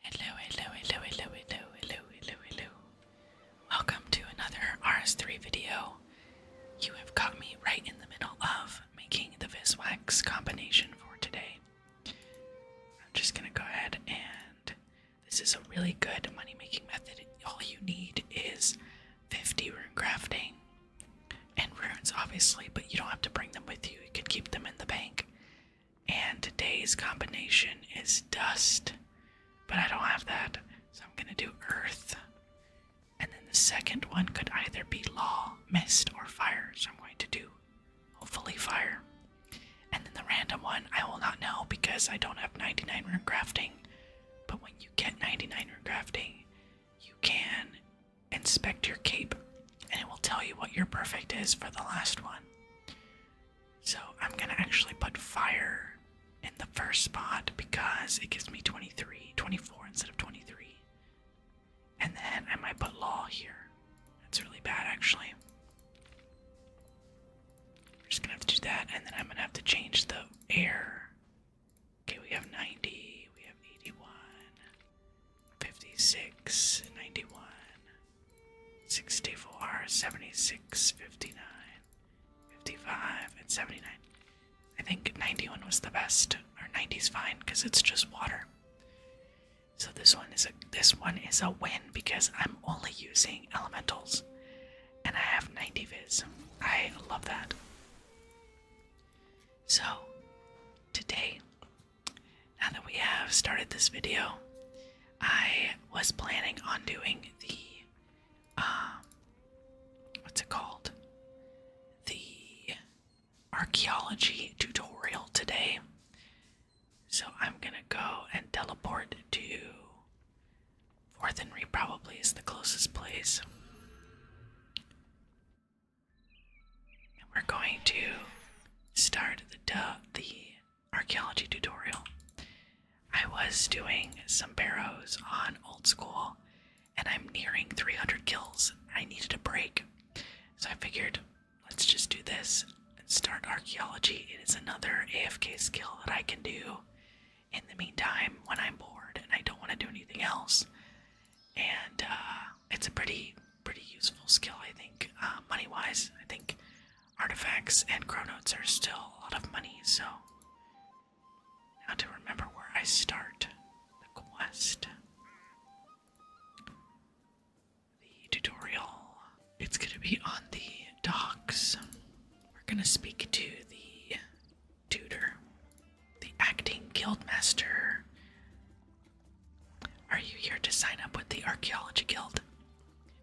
Hello, hello, hello, hello, hello, hello, hello, Welcome to another RS3 video. You have caught me right in the middle of making the Viswax combination for today. I'm just gonna go ahead and this is a really good money making method. All you need is 50 rune crafting and runes, obviously, but you don't have to bring them with you. You can keep them in the bank. And today's combination is dust, but I don't have that, so I'm gonna do earth. And then the second one could either be law, mist, or fire, so I'm going to do hopefully fire. And then the random one, I will not know because I don't have 99 rune crafting. But when you get 99 rune crafting, you can inspect your cape and it will tell you what your perfect is for the last one. So I'm gonna actually put fire in the first spot because it gives me 23, 24 instead of 23. And then I might put law here. That's really bad actually. I'm just gonna have to do that and then I'm gonna have to change the air. Okay, we have 90, we have 81, 56, 91, 64, 76, 59, 55, and 79. I think 91 was the best, or 90's fine because it's just water. So this one is a this one is a win because I'm only using elementals, and I have 90 viz. I love that. So today now that we have started this video, I was planning on doing the um what's it called? The archaeology tutorial today. So I'm gonna go and teleport to Fourth and Re probably is the closest place. And we're going to start the the archaeology tutorial. I was doing some barrows on old school and I'm nearing 300 kills. I needed a break. So I figured let's just do this and start archaeology. It is another AFK skill that I can do in the meantime when I'm bored and I don't want to do anything else. And uh, it's a pretty pretty useful skill, I think, uh, money wise. I think artifacts and chronotes are still a lot of money, so now to remember where I start the quest. The tutorial. It's gonna be on the docks. We're gonna speak to the tutor, the acting guildmaster, are you here to sign up with the Archaeology Guild?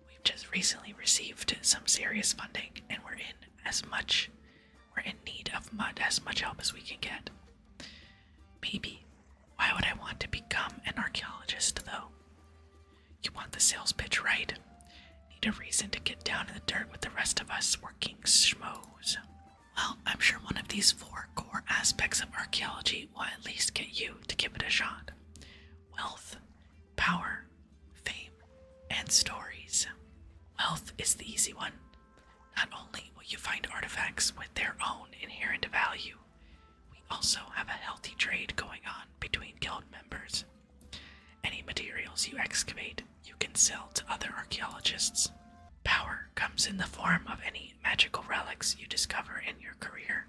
We've just recently received some serious funding and we're in as much we're in need of mud as much help as we can get. Maybe. Why would I want to become an archaeologist though? You want the sales pitch right. Need a reason to get down in the dirt with the rest of us working schmoes. Well, I'm sure one of these four core aspects of archaeology will at least get you to give it a shot. Wealth, power, fame, and stories. Wealth is the easy one. Not only will you find artifacts with their own inherent value, we also have a healthy trade going on between guild members. Any materials you excavate, you can sell to other archaeologists. Power comes in the form of any magical relics you discover in your career.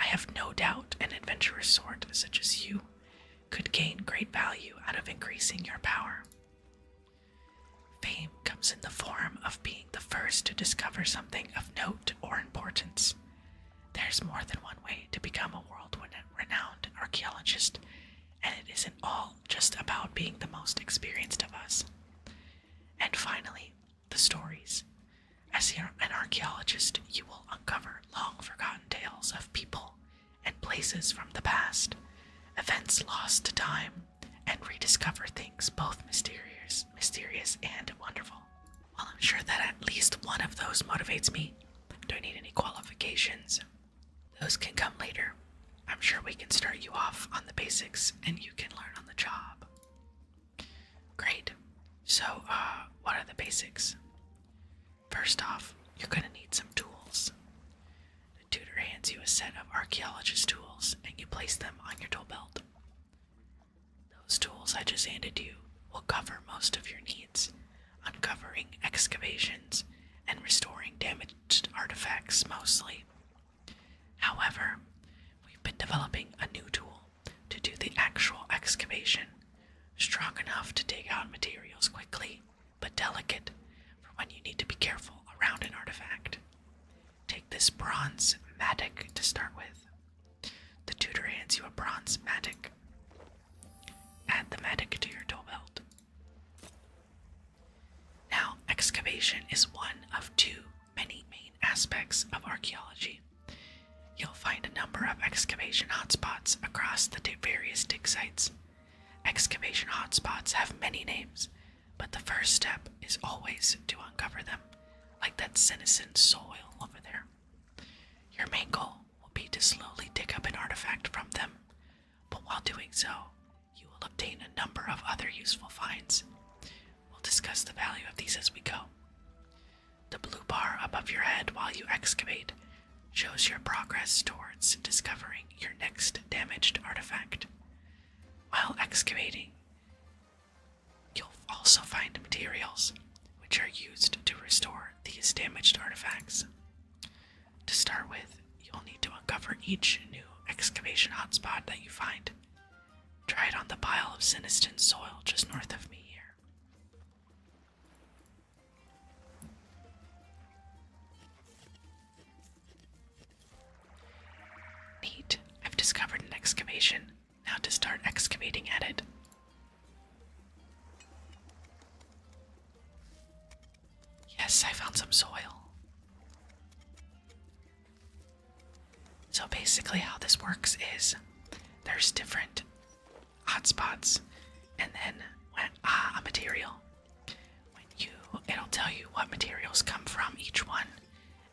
I have no doubt an adventurous sort such as you could gain great value out of increasing your power. Fame comes in the form of being the first to discover something of note or importance. There's more than one way to become a world renowned archaeologist, and it isn't all just about being the most experienced of us. And finally, the stories. As an archaeologist, you will uncover long forgotten tales of people and places from the past, events lost to time, and rediscover things both mysterious, mysterious and wonderful. Well, I'm sure that at least one of those motivates me. Don't need any qualifications. Those can come later. I'm sure we can start you off on the basics and you can learn on the job. Great. So, uh, what are the basics? First off, you're going to need some tools. The tutor hands you a set of archaeologist tools and you place them on your tool belt. Those tools I just handed you will cover most of your needs, uncovering excavations and restoring damaged artifacts mostly. However, we've been developing a new tool to do the actual excavation, strong enough to dig out materials quickly, but delicate for when you need to be careful around an artifact. Take this bronze mattock to start with. The tutor hands you a bronze mattock. Add the mattock to your tool belt. Now, excavation is one of two many main aspects of archaeology. You'll find a number of excavation hotspots across the various dig sites. Excavation hotspots have many names, but the first step is always to uncover them, like that senescent soil over there. Your main goal will be to slowly dig up an artifact from them, but while doing so, you will obtain a number of other useful finds. We'll discuss the value of these as we go. The blue bar above your head while you excavate shows your progress towards discovering your next damaged artifact. While excavating, you'll also find materials which are used to restore these damaged artifacts. To start with, you'll need to uncover each new excavation hotspot that you find Try it on the pile of Siniston soil just north of me here. Neat. I've discovered an excavation. Now to start excavating at it. Yes, I found some soil. So basically, how this works is there's different hotspots, and then when ah, a material, when you it'll tell you what materials come from each one,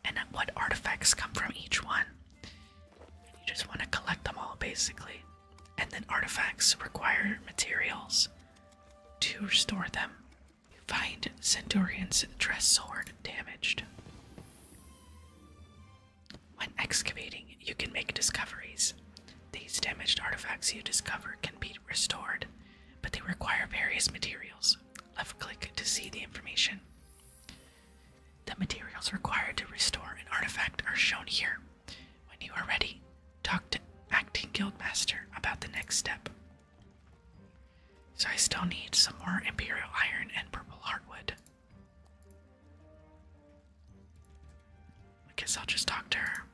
and what artifacts come from each one. You just want to collect them all, basically, and then artifacts require materials to restore them. You find Centurion's dress sword damaged. When excavating, you can make discoveries. These damaged artifacts you discover can be restored, but they require various materials. Left click to see the information. The materials required to restore an artifact are shown here. When you are ready, talk to Acting Guildmaster about the next step. So I still need some more Imperial Iron and Purple Heartwood. I guess I'll just talk to her.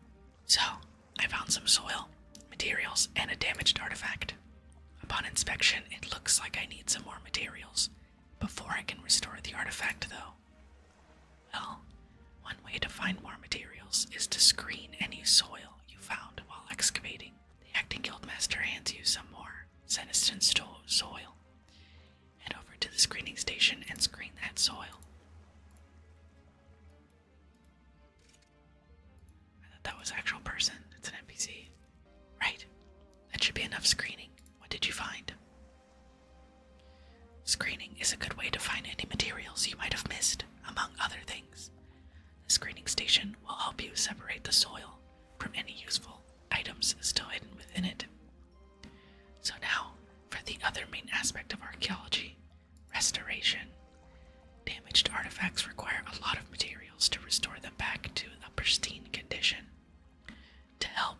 So, I found some soil, materials, and a damaged artifact. Upon inspection, it looks like I need some more materials before I can restore the artifact, though. Well, one way to find more materials is to screen any soil you found while excavating. The acting guildmaster hands you some more car, send us in soil. Head over to the screening station and screen that soil. I thought that was actual person. It's an NPC. Right. That should be enough screening. What did you find? Screening is a good way to find any materials you might have missed, among other things. The screening station will help you separate the soil from any useful items still hidden within it. So, now for the other main aspect of archaeology restoration. Damaged artifacts require a lot of materials to restore them back to a pristine condition. To help,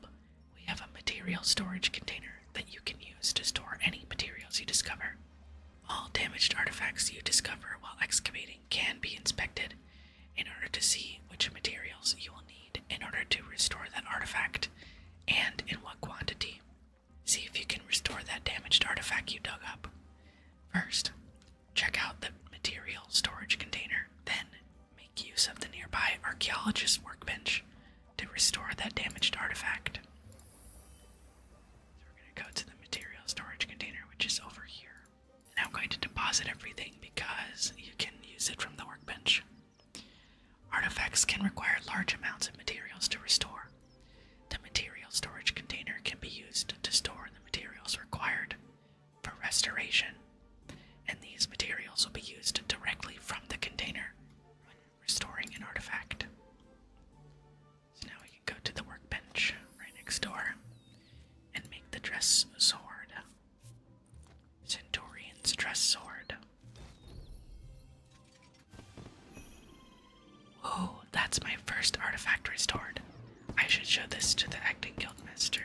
we have a material storage container that you can use to store any materials you discover. All damaged artifacts you discover while excavating can be inspected in order to see which materials you will need in order to restore that artifact and in what quantity. See if you can restore that damaged artifact you dug up. First, check out the material storage container, then, make use of the nearby archaeologist workbench to restore that damaged artifact. So we're going to go to the material storage container, which is over here. Now I'm going to deposit everything because you can use it from the workbench. Artifacts can require large amounts of materials to restore. The material storage container can be used to store the materials required for restoration, and these materials will be used directly from the container when restoring an artifact. So now we can go to the workbench right next door and make the dress sword. Centaurian's dress sword. Whoa, oh, that's my first artifact restored. I should show this to the acting guildmaster.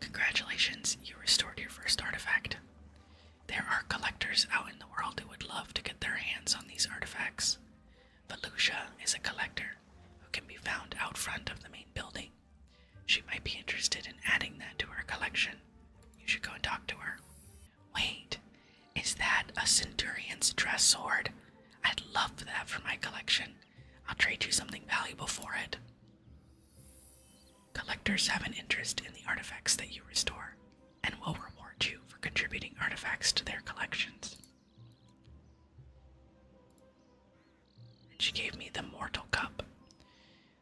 Congratulations, you restored your first artifact. There are collectors out in the world who would love to get their hands on these artifacts. Volusia is a collector who can be found out front of the main building she might be interested in adding that to her collection. You should go and talk to her. Wait, is that a centurion's dress sword? I'd love that for my collection. I'll trade you something valuable for it. Collectors have an interest in the artifacts that you restore and will reward you for contributing artifacts to their collections she gave me the mortal cup.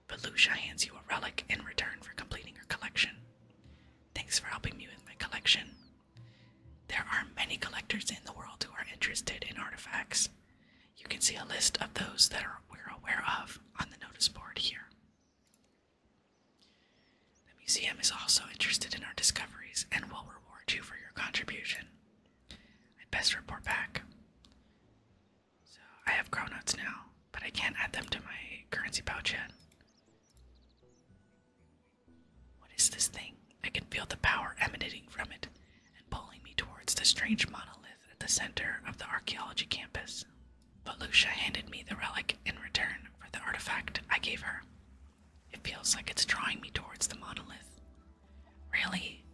but Belusha hands you a relic in return for completing her collection. Thanks for helping me with my collection. There are many collectors in the world who are interested in artifacts. You can see a list of those that we're aware of on the notice board here. The museum is also interested in our discoveries and will reward you for your contribution. I best report back. So I have groundnuts now, but I can't add them to my currency pouch yet. What is this thing? I can feel the power emanating from it and pulling me towards the strange monolith at the center of the archaeology campus. But Lucia handed me the relic in return for the artifact I gave her. It feels like it's drawing me towards the monolith, Really?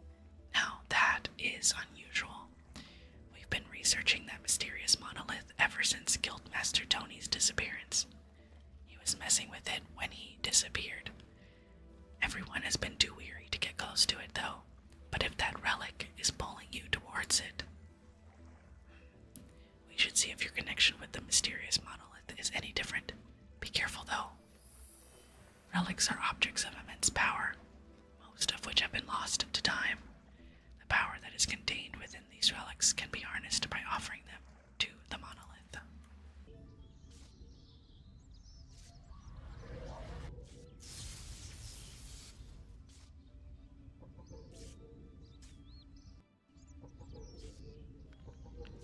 Now that is unusual. We've been researching that mysterious monolith ever since Guildmaster Tony's disappearance. He was messing with it when he disappeared. Everyone has been too weary to get close to it, though. But if that relic is pulling you towards it, we should see if your connection with the mysterious monolith is any different. Be careful, though. Relics are objects of immense power, most of which have been lost to time. The power that is contained within these relics can be harnessed by offering them to the monolith.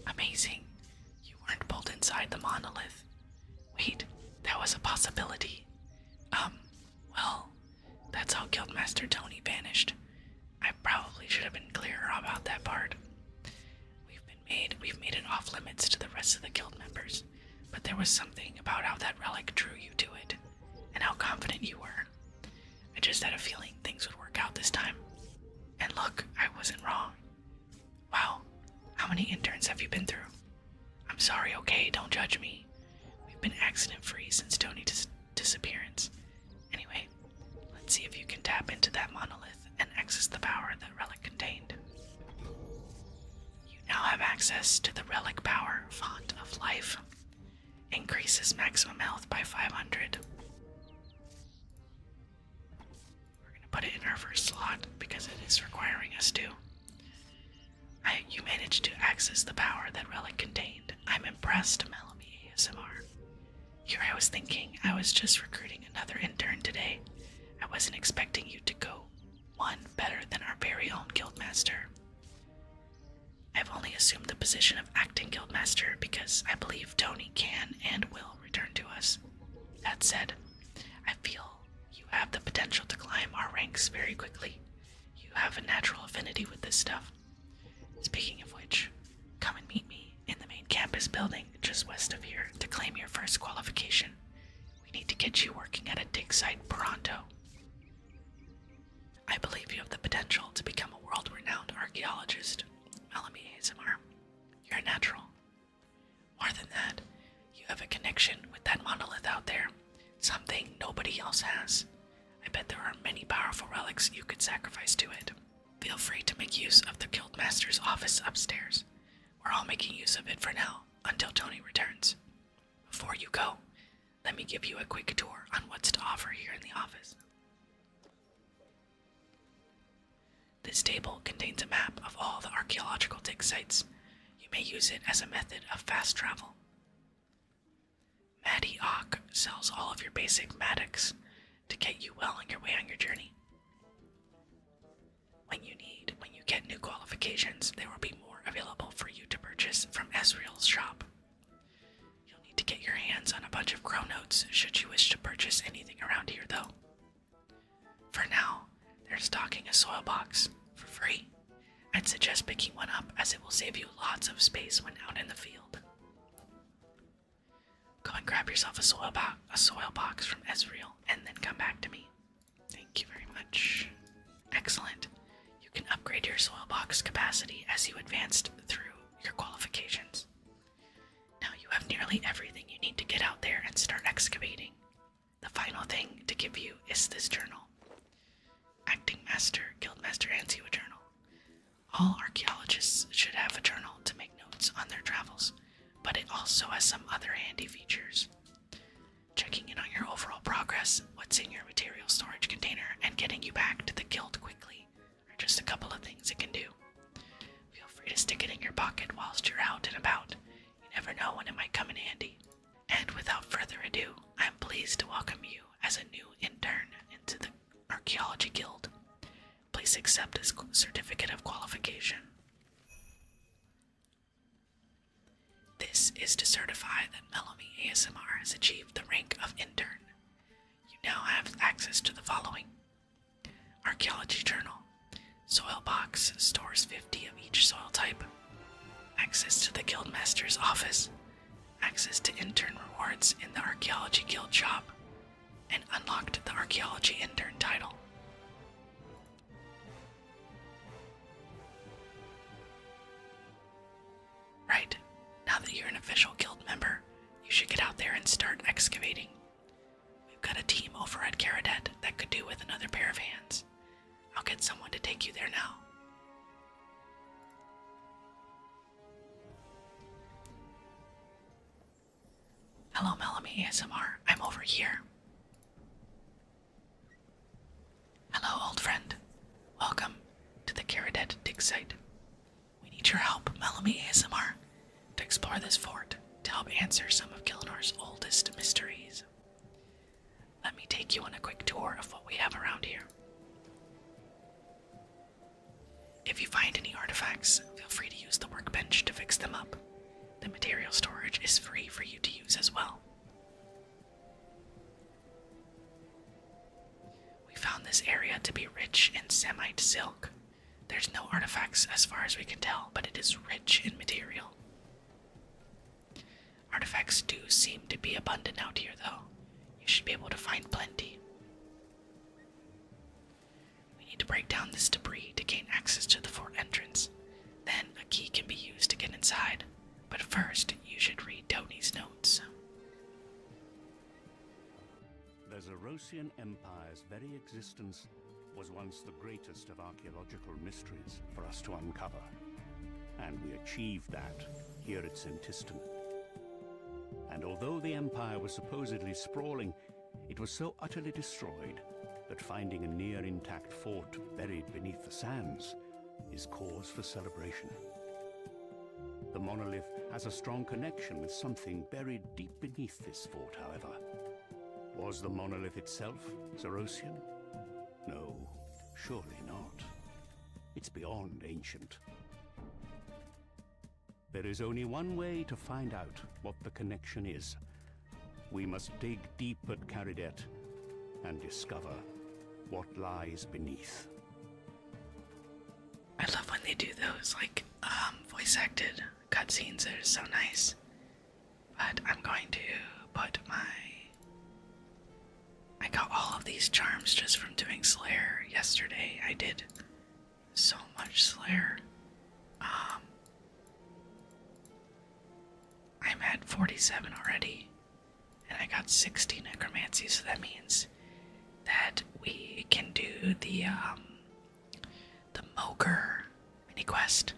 Amazing. You weren't pulled inside the monolith. Wait, that was a possibility. Um, well, that's how Guildmaster Tony vanished. I probably should have been clearer about that part. We've been made we've made it off limits to the rest of the guild members, but there was something about how that relic drew you to it, and how confident you were. I just had a feeling things would work out this time. And look, I wasn't wrong. Wow, how many interns have you been through? I'm sorry, okay? Don't judge me. We've been accident free since Tony's disappearance. Anyway, let's see if you can tap into that monolith and access the power that relic contained. You now have access to the relic power font of life. Increases maximum health by 500. We're gonna put it in our first slot because it is requiring us to. you managed to access the power that relic contained. I'm impressed, Melamy ASMR. Here I was thinking I was just recruiting another intern today. I wasn't expecting you to go one better than our very own guildmaster. I've only assumed the position of acting guildmaster because I believe Tony can and will return to us. That said, I feel you have the potential to climb our ranks very quickly. You have a natural affinity with this stuff. Speaking of which, come and meet me in the main campus building just west of here to claim your first qualification. We need to get you working at a dig site pronto. I believe you have the potential to become a world renowned archaeologist. Melamy ASMR. You're a natural. More than that, you have a connection with that monolith out there, something nobody else has. I bet there are many powerful relics you could sacrifice to it. Feel free to make use of the Guildmaster's office upstairs. We're all making use of it for now, until Tony returns. Before you go, let me give you a quick tour on what's to offer here in the office. This table contains a map of all the archaeological dig sites. You may use it as a method of fast travel. Maddie Ock sells all of your basic Maddox to get you well on your way on your journey. When you need, when you get new qualifications, there will be more available for you to purchase from Ezreal's shop. You'll need to get your hands on a bunch of crow notes should you wish to purchase anything around here, though. For now, they're stocking a soil box for free. I'd suggest picking one up as it will save you lots of space when out in the field. Go and grab yourself a soil, bo a soil box from Ezreal and then come back to me. Thank you very much. Excellent. You can upgrade your soil box capacity as you advanced through your qualifications. Now you have nearly everything you need to get out there and start excavating. The final thing to give you is this journal. Acting Master, Guildmaster hands you a journal. All archaeologists should have a journal to make notes on their travels, but it also has some other handy features. Checking in on your overall progress, what's in your material storage container, and getting you back to the guild quickly are just a couple of things it can do. Feel free to stick it in your pocket whilst you're out and about. You never know when it might come in handy. And without further ado, I am pleased to welcome you as a new intern into the Archaeology Guild. Please accept this certificate of qualification. This is to certify that Melamy ASMR has achieved the rank of intern. You now have access to the following Archaeology Journal. Soil box stores 50 of each soil type. Access to the Guildmaster's office. Access to intern rewards in the Archaeology Guild shop. And unlocked the Archaeology Intern title. Right, now that you're an official guild member, you should get out there and start excavating. We've got a team over at Caradet that could do with another pair of hands. I'll get someone to take you there now. Hello, Melamy ASMR. I'm over here. Hello, old friend. Welcome to the Caradet dig site. We need your help, Melamy ASMR. To explore this fort, to help answer some of Kilnor's oldest mysteries. Let me take you on a quick tour of what we have around here. If you find any artifacts, feel free to use the workbench to fix them up. The material storage is free for you to use as well. We found this area to be rich in Semite silk, there's no artifacts as far as we can tell, but it is rich in material. Artifacts do seem to be abundant out here, though. You should be able to find plenty. We need to break down this debris to gain access to the fort entrance. Then a key can be used to get inside. But first, you should read Tony's notes the Zerosian Empire's very existence was once the greatest of archaeological mysteries for us to uncover. And we achieved that here at Sintistan. And although the empire was supposedly sprawling, it was so utterly destroyed that finding a near intact fort buried beneath the sands is cause for celebration. The monolith has a strong connection with something buried deep beneath this fort, however. Was the monolith itself Zerosian? No, surely not. It's beyond ancient. There is only one way to find out what the connection is. We must dig deep at Caridet and discover what lies beneath. I love when they do those, like, um, voice acted cutscenes are so nice. But I'm going to put my. I got all of these charms just from doing Slayer yesterday. I did so much Slayer. Um, I'm at 47 already, and I got 60 necromancy, so that means that we can do the um, the Moker mini quest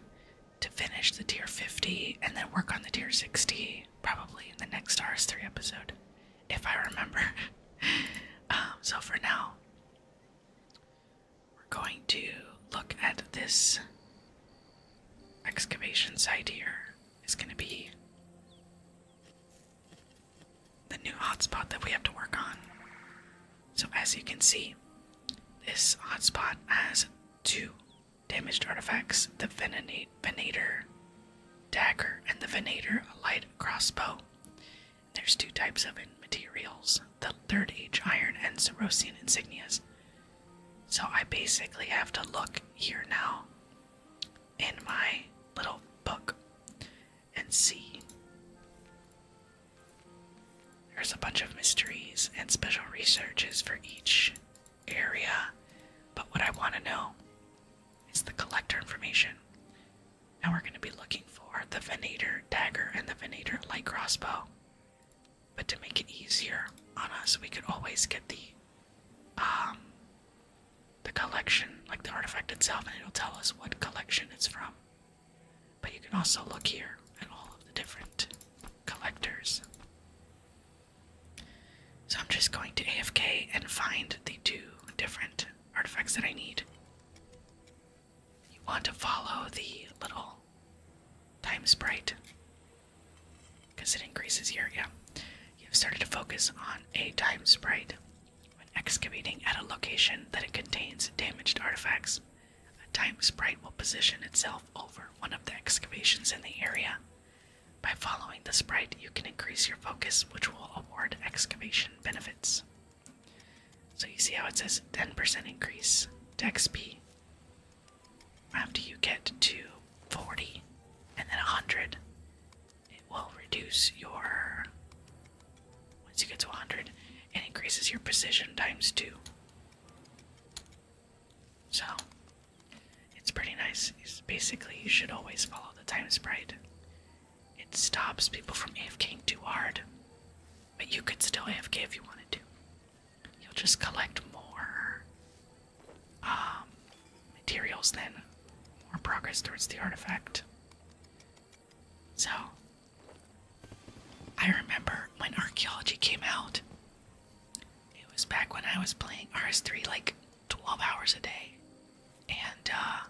to finish the tier 50 and then work on the tier 60 probably in the next RS3 episode, if I remember. Um, so for now, we're going to look at this excavation site here. It's going to be the new hotspot that we have to work on. So as you can see, this hotspot has two damaged artifacts, the Venator dagger and the Venator light crossbow. There's two types of materials, the Third Age iron and Cerosian insignias. So I basically have to look here now in my little book and see. There's a bunch of mysteries and special researches for each area, but what I want to know is the collector information. Now we're going to be looking for the Venator dagger and the Venator light crossbow. But to make it easier on us, we could always get the um the collection, like the artifact itself, and it'll tell us what collection it's from. But you can also look here at all of the different collectors. So I'm just going to AFK and find the two different artifacts that I need. You want to follow the little time sprite because it increases here, yeah. You have started to focus on a time sprite when excavating at a location that it contains damaged artifacts. A time sprite will position itself over one of the excavations in the area. By following the sprite, you can increase your focus, which will award excavation benefits. So you see how it says 10% increase to XP after you get to 40 and then 100. It will reduce your. Once you get to 100, and increases your precision times two. So, it's pretty nice. basically, you should always follow the time sprite. It stops people from AFKing too hard, but you could still AFK if you wanted to. You'll just collect more um, materials then, more progress towards the artifact. So, I remember when archaeology came out, it was back when I was playing RS3 like 12 hours a day and uh,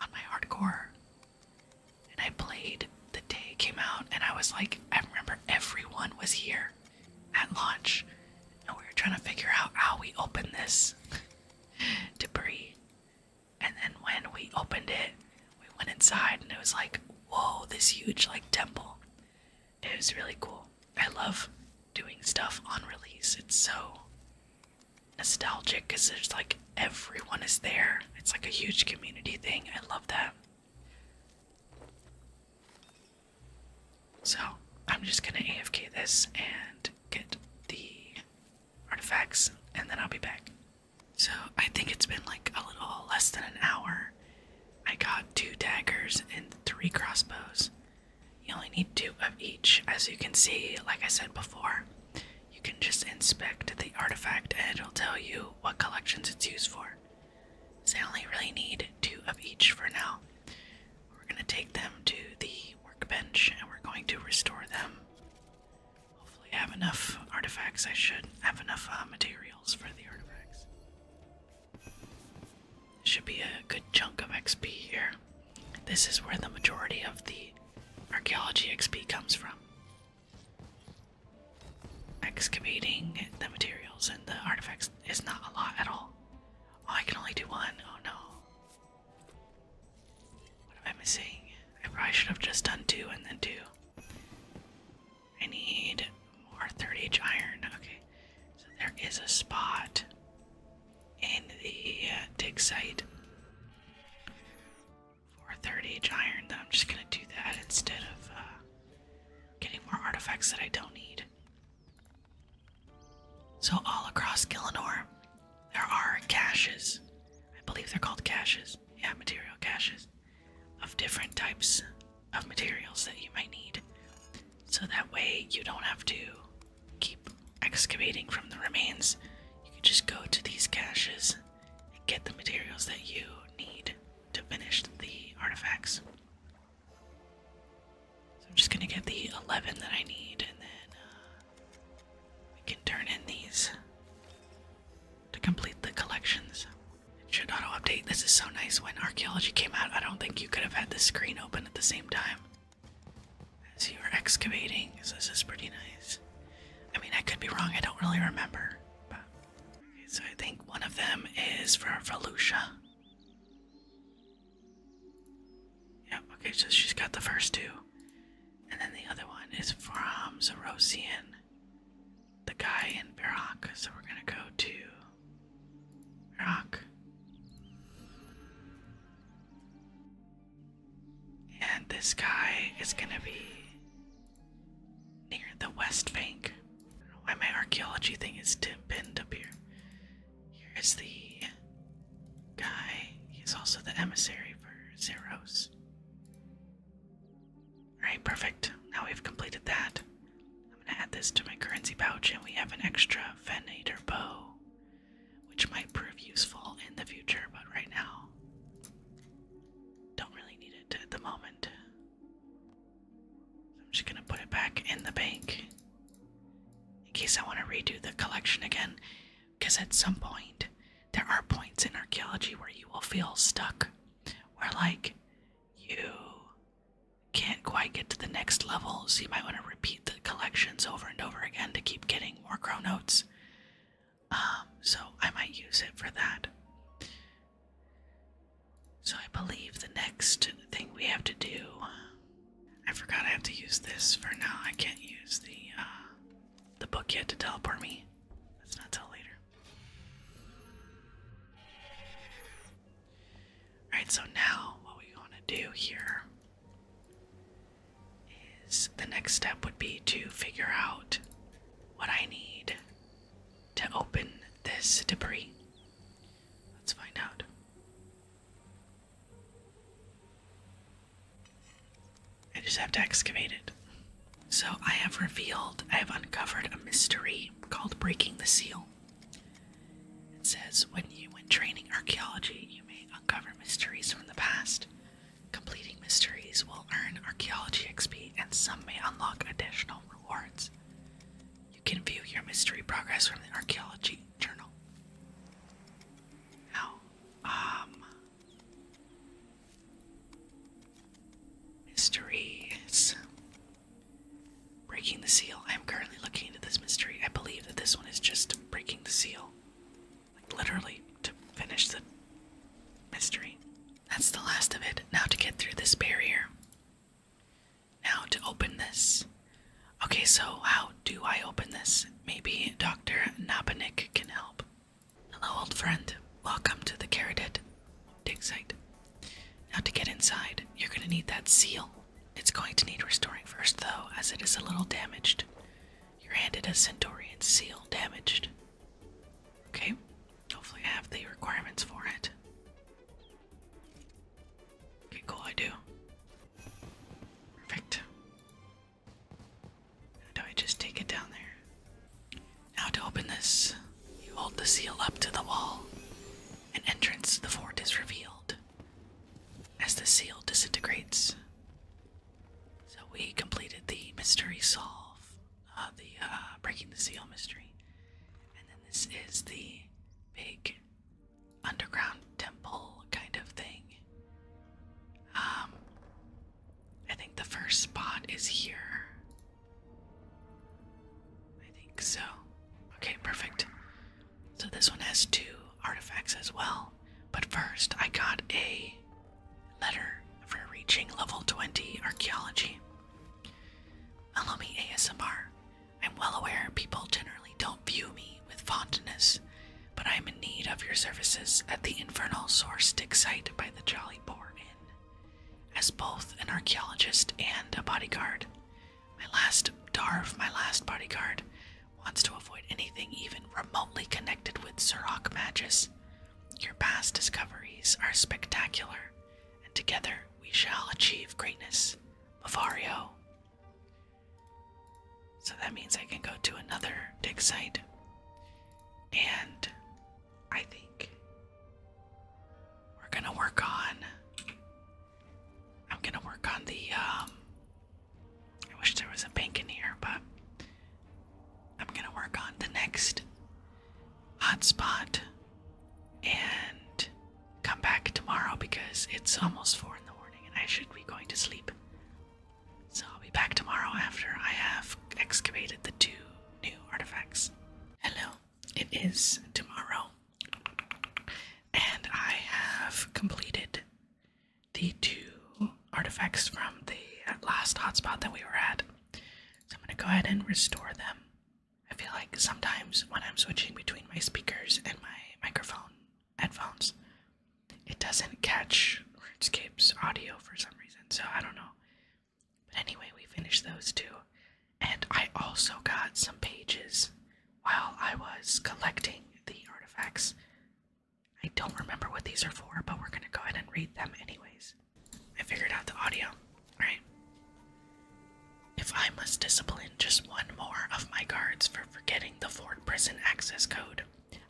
on my hardcore. And I played the day it came out, and I was like, I remember everyone was here at launch, and we were trying to figure out how we open this debris. And then when we opened it, we went inside and it was like, whoa, this huge like temple. It was really cool. I love doing stuff on release. It's so nostalgic because there's like everyone is there. It's like a huge community thing. I love that. So I'm just gonna AFK this and get the artifacts and then I'll be back. So I think it's been like a little less than an hour. I got two daggers and three crossbows. You only need two of each. As you can see, like I said before, you can just inspect the artifact and it'll tell you what collections it's used for. So I only really need two of each for now. We're going to take them to the workbench and we're going to restore them Hopefully I have enough artifacts. I should have enough uh, materials for the artifacts. Should be a good chunk of XP here. This is where the majority of the archaeology XP comes from. Excavating the materials and the artifacts is not a lot at all. Oh, I can only do one. Oh no. What am I missing? I probably should have just done two and then two. I need more 30H iron. Okay, so there is a spot in the uh, dig site for 30H iron that I'm just gonna do that instead of uh, getting more artifacts that I don't need. So all across Gillenor, there are caches. I believe they're called caches. Yeah, material caches of different types of materials that you might need. So that way you don't have to keep excavating from the remains. You can just go to these caches and get the materials that you need to finish the artifacts. So I'm just gonna get the 11 that I need and then uh, we can turn in these to complete the collections. It should auto update. This is so nice. When archaeology came out, I don't think you could have had the screen open at the same time as you were excavating. So this is pretty nice. I mean, I could be wrong. I don't really remember. okay, so I think one of them is from Volusia. Yep. Okay, so she's got the first two, and then the other one is from Zerosian the guy in Barak, so we're gonna go to Barak. And this guy is gonna be near the West Bank. I my archaeology thing is pinned up here. Here is the guy. He's also the emissary for Zeros. Alright, perfect. Now we've completed that. I'm gonna add this to my currency pouch, and we have an extra Venator bow, which might prove useful in the future, but right now, don't really need it at the moment. I'm just gonna put it back in the bank in case I want to redo the collection again, because at some point there are points in archaeology where you will feel stuck, where like you can't quite get to the next level, you might want to repeat the collections over and over again to keep getting more crow notes. Um, so I might use it for that. So I believe the next thing we have to do. I forgot I have to use this for now. I can't use the uh, the book yet to teleport me. That's not till later. Alright, so now what we want to do here is the next step would be to figure out what I need to open this debris. Let's find out. I just have to excavate it. So I have revealed, I have uncovered a mystery called Breaking the Seal. It says when you when training archaeology, you may uncover mysteries from the past. Completing mysteries will earn archaeology XP and some may unlock additional rewards. You can view your mystery progress from the archaeology journal. Now, um Mysteries. Breaking the seal. I'm currently looking into this mystery. I believe that this one is just breaking the seal. Like, literally, to finish the mystery. That's the last of it. Now to get through this barrier. Now to open this. Okay, so how do I open this? Maybe Dr. Napanik can help. Hello, old friend. Welcome to the Caradet dig site. Now, to get inside, you're going to need that seal. It's going to need restoring first, though, as it is a little damaged. You're handed a Centaurian seal damaged. Okay, hopefully, I have the requirements for it. Okay, cool, I do. Perfect. Do I just take it down there? Now, to open this, you hold the seal up to the wall. and entrance to the fort is revealed as the seal disintegrates. So, we completed the mystery solve, uh, the uh, breaking the seal mystery. And then this is the big underground temple kind of thing. Um, I think the first spot is here. I think so. Okay, perfect. So this one has two artifacts as well. But first, I got a letter for reaching level 20 archaeology. Allow uh, me ASMR. I'm well aware people generally don't view me with fondness, but I am in need of your services at the Infernal Source dig site by the Jolly. Dolly Parton as both an archaeologist and a bodyguard. My last Darv, my last bodyguard, wants to avoid anything even remotely connected with Sirach Magus. Your past discoveries are spectacular, and together we shall achieve greatness. Mavario. So that means I can go to another dig site. And I think we're gonna work on. I'm gonna work on the. Um, I wish there was a bank in here, but I'm gonna work on the next hotspot and come back tomorrow because it's almost four in the morning and I should be going to sleep. So I'll be back tomorrow after I have excavated the two new artifacts. Hello, it is tomorrow, and I have completed the two artifacts from the last hotspot that we were at. So I'm going to go ahead and restore them. I feel like sometimes when I'm switching between my speakers and my microphone headphones, it doesn't catch RuneScape's audio for some reason. So I don't know but anyway, we finished those two. And I also got some pages while I was collecting the artifacts. I don't remember what these are for, but we're going to go ahead and read them anyways. I figured out the audio. Alright. If I must discipline just one more of my guards for forgetting the Ford prison access code,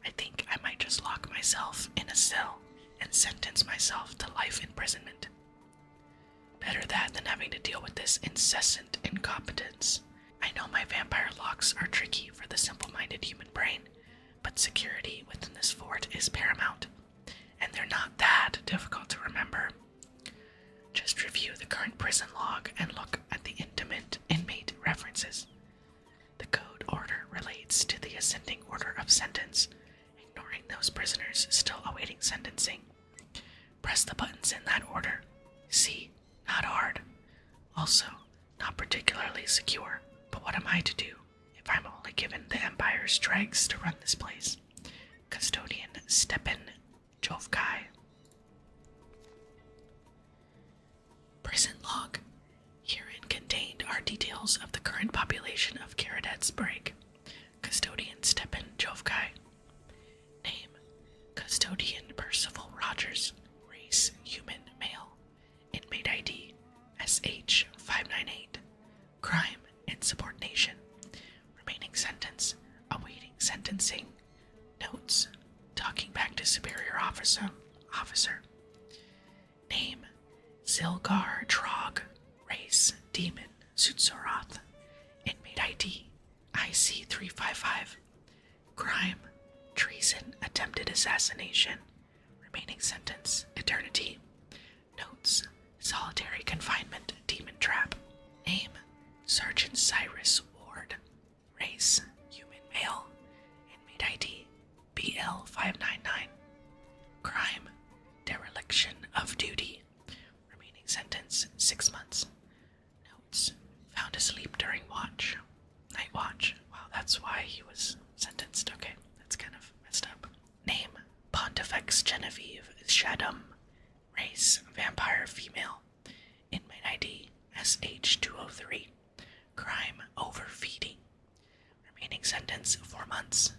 I think I might just lock myself in a cell and sentence myself to life imprisonment. Better that than having to deal with this incessant incompetence. I know my vampire locks are tricky for the simple minded human brain, but security within this fort is paramount, and they're not that difficult to remember. Just review the current prison log and look at the intimate inmate references. The code order relates to the ascending order of sentence, ignoring those prisoners still awaiting sentencing. Press the buttons in that order. See, not hard. Also, not particularly secure, but what am I to do if I'm only given the Empire's dregs to run this place? Custodian Stepan Jovkai. Prison log. Herein contained are details of the current population of Karadet's break. Custodian Stepan Jovkai. Name Custodian Percival Rogers. Race Human Male. Inmate ID SH598. Crime Insubordination. Remaining sentence awaiting sentencing. Notes talking back to superior officer. Officer. Name Zilgar Trog. Race Demon Sutsoroth. Inmate ID IC355. Crime Treason Attempted Assassination. Remaining sentence Eternity. Notes Solitary Confinement Demon Trap. Name Sergeant Cyrus Ward. Race Human Male. Inmate ID BL 599 Crime Dereliction of Duty Remaining sentence six months. Notes found asleep during watch. Night watch. Wow, that's why he was sentenced. Okay, that's kind of messed up. Name Pontifex Genevieve Shadum. Race Vampire Female. Inmate ID SH203. Crime Overfeeding. Remaining sentence four months.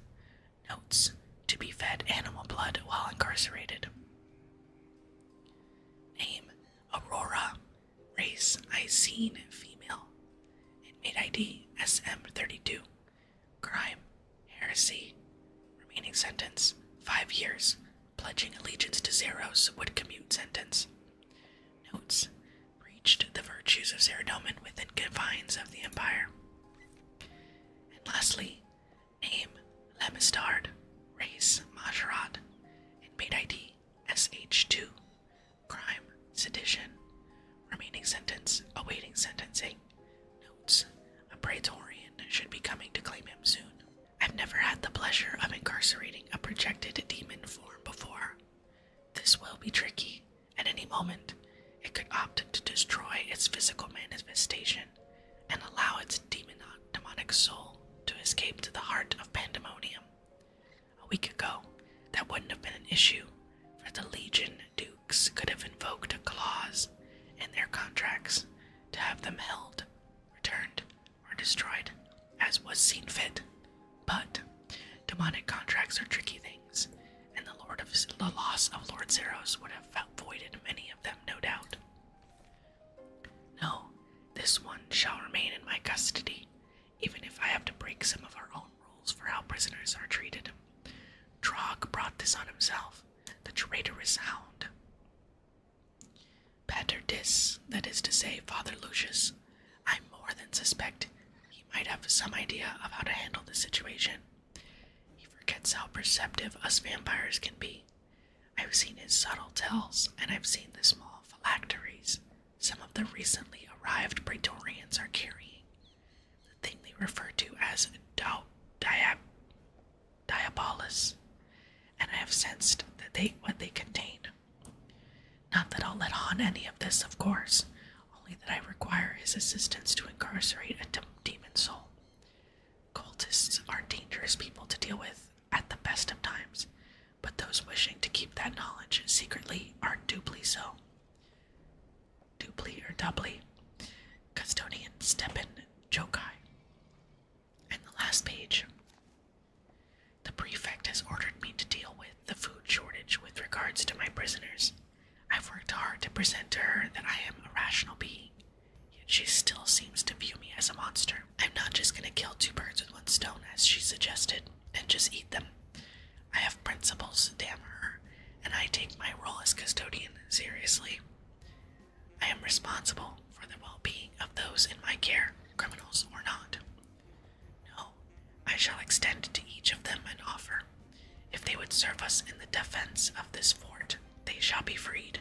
Notes to be fed animal blood while incarcerated. Name Aurora. Race Icene female. Inmate ID SM32. Crime heresy. Remaining sentence five years. Pledging allegiance to Zeros would commute sentence notes preached the virtues of Ceridoman within confines of the empire. And lastly, name Lamistard, race Majorat, and made ID SH2, crime sedition, remaining sentence awaiting sentencing. Notes A Praetorian should be coming to claim him soon. I've never had the pleasure of incarcerating a projected demon form before. This will be tricky, at any moment, it could opt to destroy its physical manifestation and allow its demon- demonic soul to escape to the heart of pandemonium. A week ago, that wouldn't have been an issue, for the Legion Dukes could have invoked a clause in their contracts to have them held, returned, or destroyed as was seen fit. But demonic contracts are tricky things, and the Lord of the loss of Lord Zeros would have voided many of them, no doubt. No, this one shall remain in my custody, even if I have to break some of our own rules for how prisoners are treated. Trog brought this on himself. The traitorous hound. Pater Dis, that is to say, Father Lucius, I more than suspect he might have some idea of how to handle the situation. He forgets how perceptive us vampires can be. I've seen his subtle tells, and I've seen the small phylacteries some of the recently arrived Praetorians are carrying. The thing they refer to as diab diabolus, and I have sensed that they what they contain. Not that I'll let on any of this, of course, only that I require his assistance to incarcerate a demon soul. Cultists are dangerous people to deal with at the best of times, but those wishing to keep that knowledge secretly are doubly so. Doubly or doubly. Custodian Stepan Jokai. And the last page. The prefect has ordered me to deal with the food shortage with regards to my prisoners. I've worked hard to present to her that I am a rational being, yet she still seems to view me as a monster. I'm not just gonna kill two birds with one stone, as she suggested, and just eat them. I have principles, damn her, and I take my role as custodian seriously. I am responsible for the well being of those in my care, criminals or not. No, I shall extend to each of them an offer. If they would serve us in the defense of this fort, they shall be freed,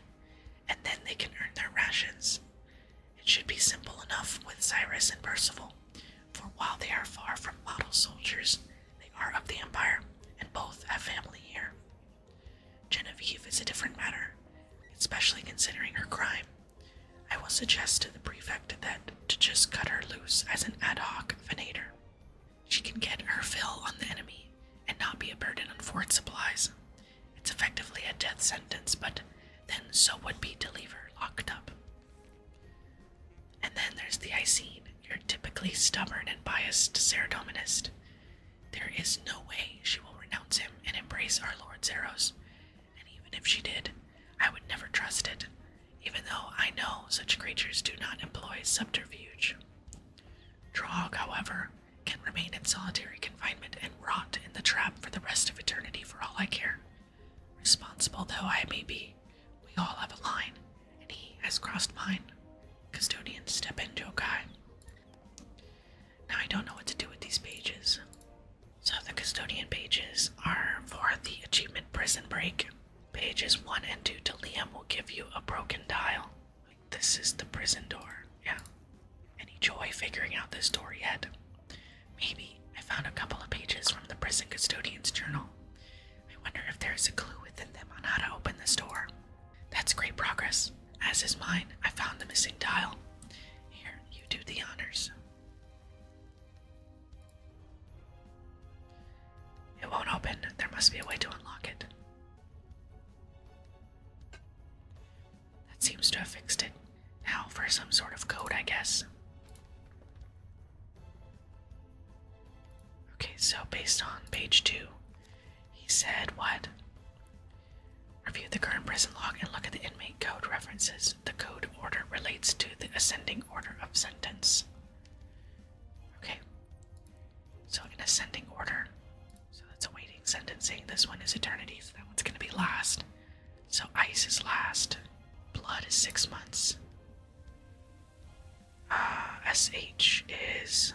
and then they can earn their rations. It should be simple enough with Cyrus and Percival, for while they are far from model soldiers, they are of the Empire, and both have family here. Genevieve is a different matter, especially considering her crime. I will suggest to the prefect that to just cut her loose as an ad hoc venator. She can get her fill on the enemy and not be a burden on fort supplies. It's effectively a death sentence, but then so would be to leave her locked up. And then there's the Icene, are typically stubborn and biased Cerdominist. There is no way she will renounce him and embrace our Lord's Zeros and even if she did, I would never trust it, even though I know such creatures do not employ subterfuge. Trog, however, can remain in solitary confinement and rot in the trap for the rest of eternity for all I care. Responsible though I may be, we all have a line, and he has crossed mine. Custodians, step in, Guy. Now I don't know what to do with these pages. So the custodian pages are for the achievement prison break. Pages 1 and 2 to Liam will give you a broken dial. This is the prison door. Yeah. Any joy figuring out this door yet? Maybe. I found a couple of pages from the prison custodian's journal. I wonder if there's a clue within them on how to open this door. That's great progress. As is mine, I found the missing dial. Here, you do the honors. It won't open. There must be a way to unlock it. That seems to have fixed it. Now for some sort of code, I guess. Okay, so based on page two, he said what? Review the current prison log and look at the inmate code references. The code order relates to the ascending order of sentence. Okay. So in ascending order, so that's awaiting sentencing. This one is eternity, so that one's gonna be last. So ice is last. Blood is six months. SH uh, is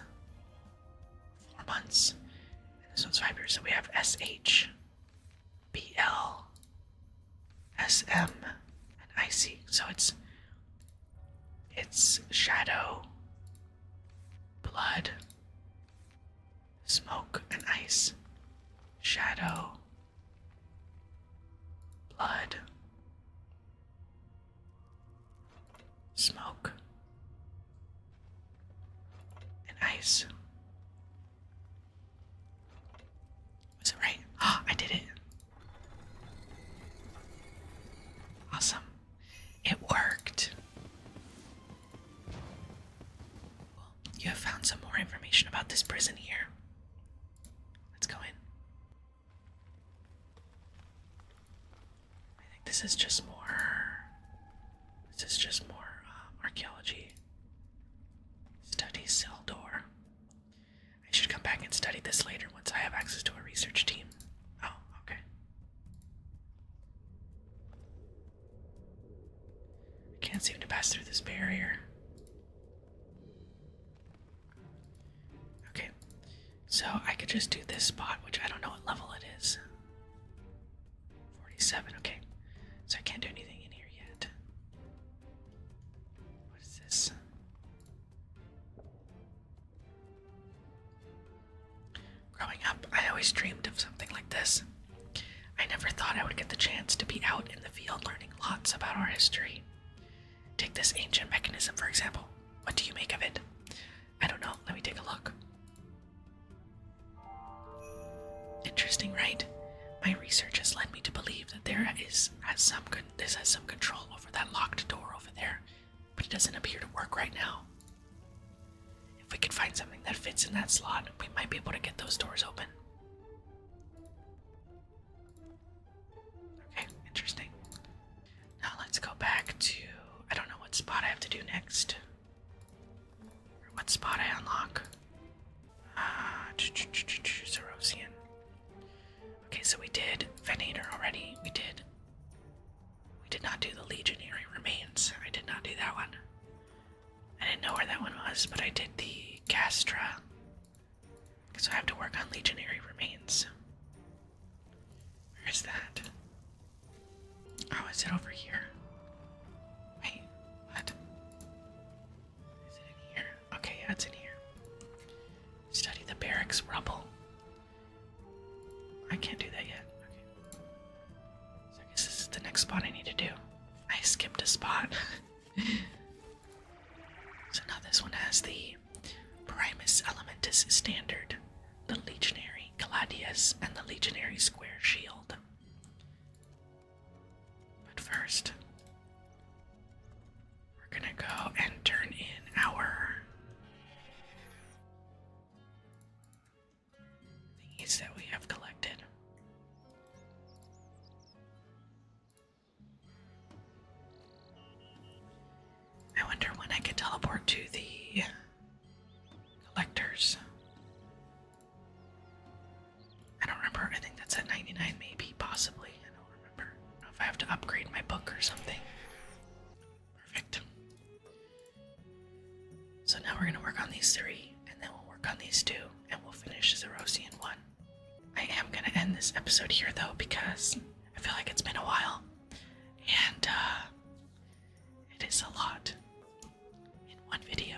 four months. And this one's five years. So we have SH BL SM and icy. So it's it's shadow, blood, smoke and ice. Shadow, blood, smoke and ice. Was it right? Ah! I did it. Awesome. It worked. Well, you have found some more information about this prison here. Let's go in. I think this is just more. This is just more um, archaeology. Study cell door. I should come back and study this later once I have access to a research team. Oh, okay. I can't seem to pass through this barrier. Okay, so I could just do this spot, which I don't know what level it is. 47, okay. So I can't do anything in here yet. What is this? Growing up, I always dreamed of something like this. I never thought I would get the chance to be out in the field learning lots about our history. Take this ancient mechanism, for example. What do you make of it? I don't know. Let me take a look. Interesting, right? My research has led me to believe that there is has some con this has some control over that locked door over there, but it doesn't appear to work right now. If we could find something that fits in that slot, we might be able to get those doors open. Okay, interesting. Now let's go back to I don't know what spot I have to do next. what spot I unlock. Ah, Zerosian. Okay, so we did Venator already. We did. We did not do the Legionary Remains. I did not do that one. I didn't know where that one was, but I did the Castra. So I have to work on Legionary Remains. Where is that? Oh, is it over here? Wait, what? Is it in here? Okay, that's in here. Study the barracks rubble. I can't do that yet. Okay. So I guess this is the next spot I need to do. I skipped a spot. so now this one has the Primus Elementis Standard, the Legionary Gladius, and the Legionary Square Shield. But first, we're gonna go and turn in our things that we have collected. I wonder when I can teleport to the collectors. I don't remember. I think that's at 99, maybe, possibly. I don't remember. if I have to upgrade my book or something. Perfect. So now we're going to work on these three, and then we'll work on these two, and we'll finish Zerosian 1. I am going to end this episode here, though, because I feel like it's been a while, and uh, it is a lot in one video.